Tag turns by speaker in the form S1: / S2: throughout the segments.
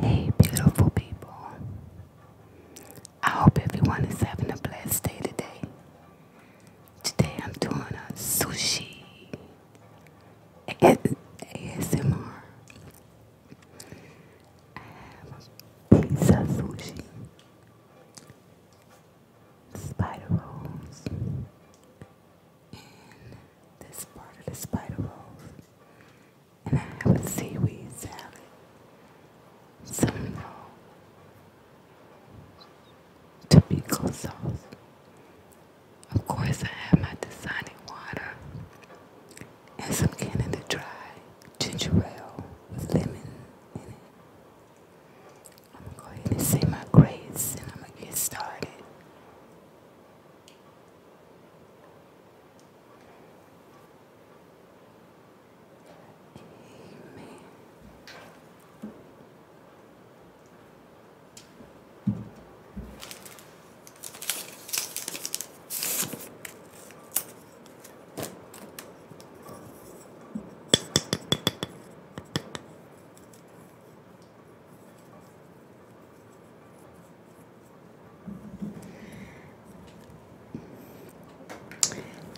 S1: Hey, beautiful people. I hope everyone is having a blessed day today. Today I'm doing a sushi ASMR. pizza sushi spider rolls. And this part of the spider rolls. And I have a seaweed salad. Some Tobacco sauce. Of course, I have my Dasani water and some Canada Dry ginger ale with lemon in it. I'm going to say my grades and I'm going to get started. Amen.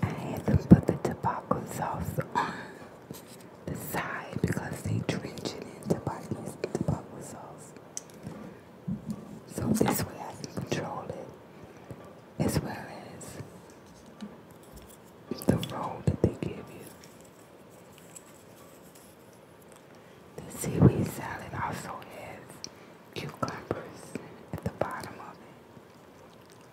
S1: I had them put the tobacco sauce on the side because they drench it in tobacco, tobacco sauce. So this way I can control it as well as the role that they give you. The seaweed salad also has cucumbers at the bottom of it.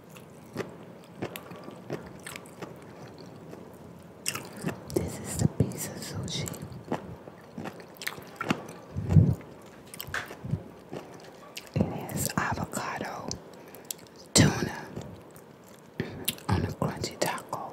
S1: This is the piece of sushi. It has avocado, tuna on a crunchy taco.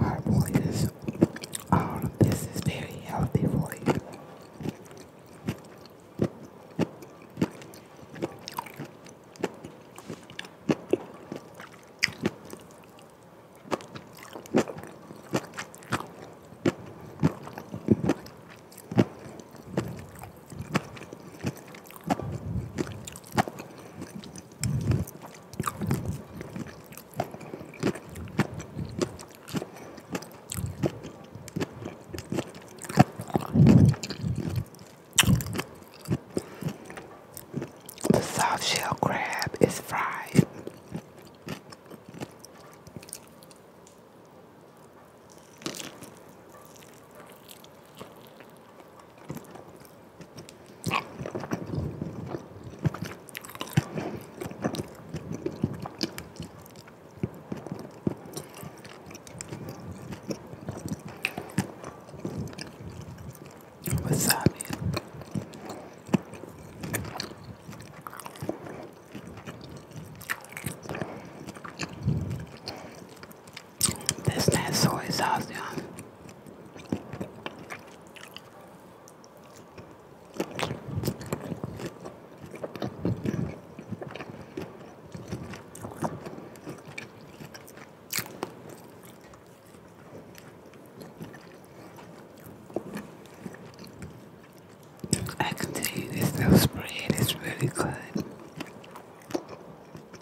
S1: Her voice, all of oh, this is very healthy for you. The soft shell crab is fried. Wasabi. That's that soy sauce, y'all. I can tell you this nose spray is really good.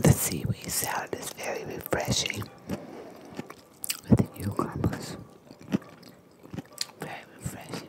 S1: The seaweed salad is very refreshing with the cucumbers. Very refreshing.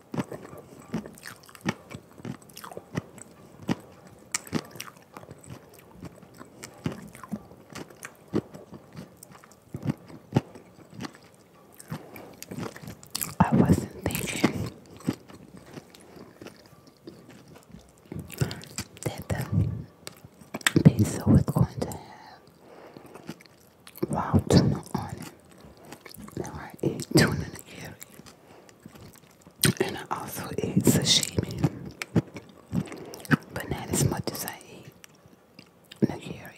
S1: I wasn't thinking that the pizza was going to have raw tuna on it. Now I eat tuna nigiri, and I also eat sashimi, but not as much as I eat nigiri.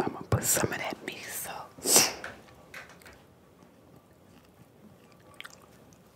S1: I'm gonna put some of that miso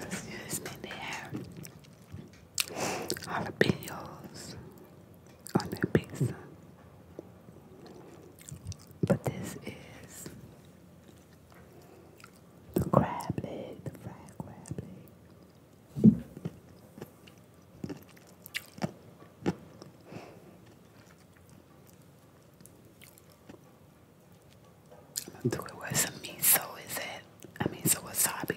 S1: Excuse me, they have jalapenos on their pizza, but this is the crab leg, the fried crab leg. I'm gonna some miso, is it? I mean, so wasabi.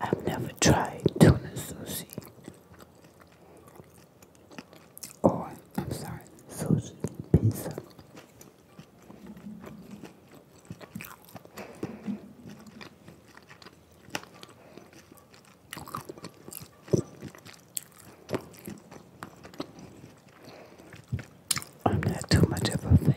S1: I've never tried tuna sushi. Oh, or, i sushi pizza. I'm not too much of a fan.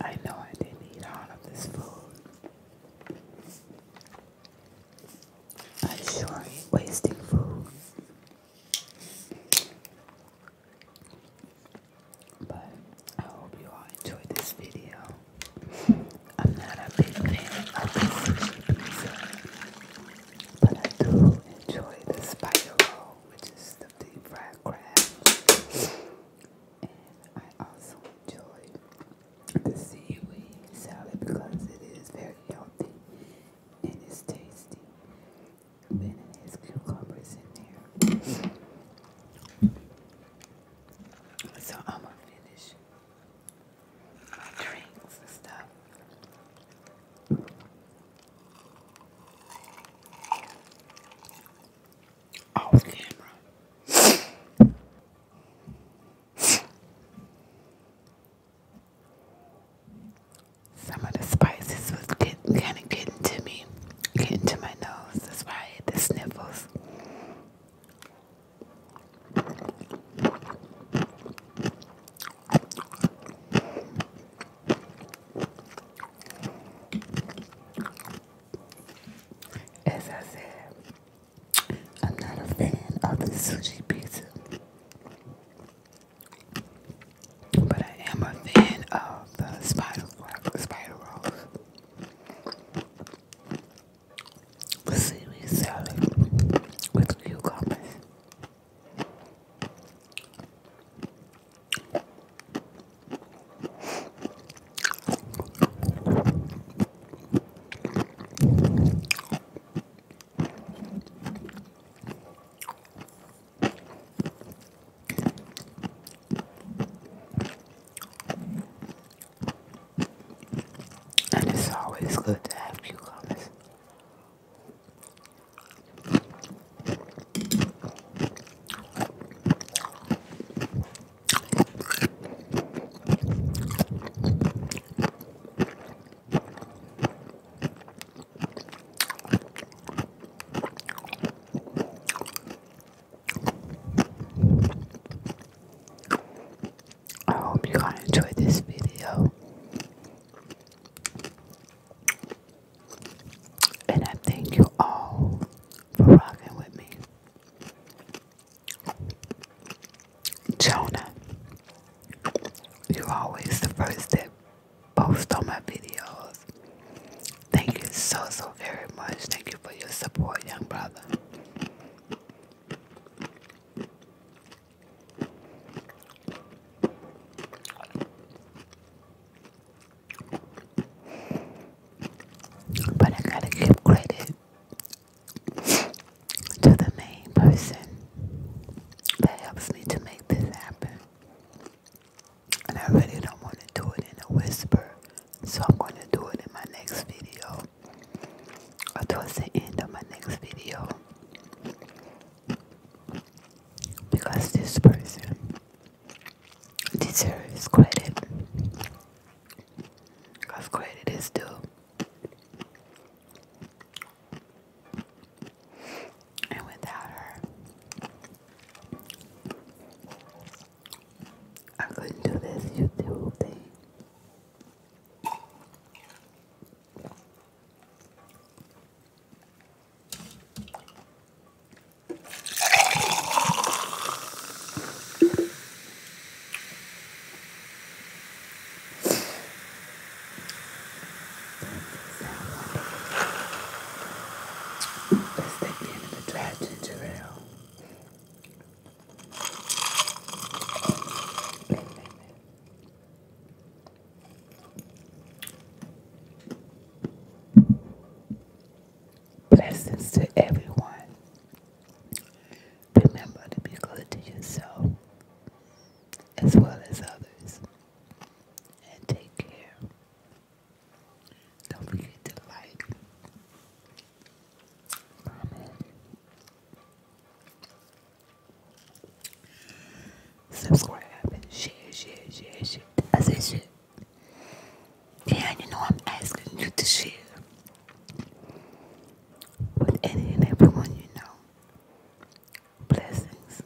S2: I know I didn't eat all of this food. I sure ain't wasting food. But I hope you all enjoyed this video. I'm not a big fan of this sushi pizza. But I do enjoy the spider which is the deep fried crab. And I also enjoy the seaweed salad because it is very healthy and it's tasty. And then cucumbers in there. So I'm gonna finish drinks and stuff. Off camera.
S1: Some of the spices was getting kind of getting to me, getting to my nose. That's why I had the sniffles. As I said, I'm not a fan of the sushi pizza, but I am a fan of the spider, spider rolls. See seaweed salad with cucumbers. And it's always good to have cucumbers. I hope you guys enjoyed this video. And I thank you all for rocking with me. Jonah, you always the first that post on my videos. Thank you so, so very much. Thank you for your support, young brother. But I gotta give credit to the main person that helps me to make this happen. And I really don't want to do it in a whisper, so I'm going to do it in my next video or towards the end of my next video because this person deserves credit because credit is due and without her I couldn't do this YouTube thing Let's take the end of the dry ginger ale Blessings to everyone. Remember to be good to yourself as well as others. And take care. Don't forget to like, Subscribe and share, share, share, share. I said shit. Yeah, you know I'm asking you to share with anyone, everyone you know. Blessings.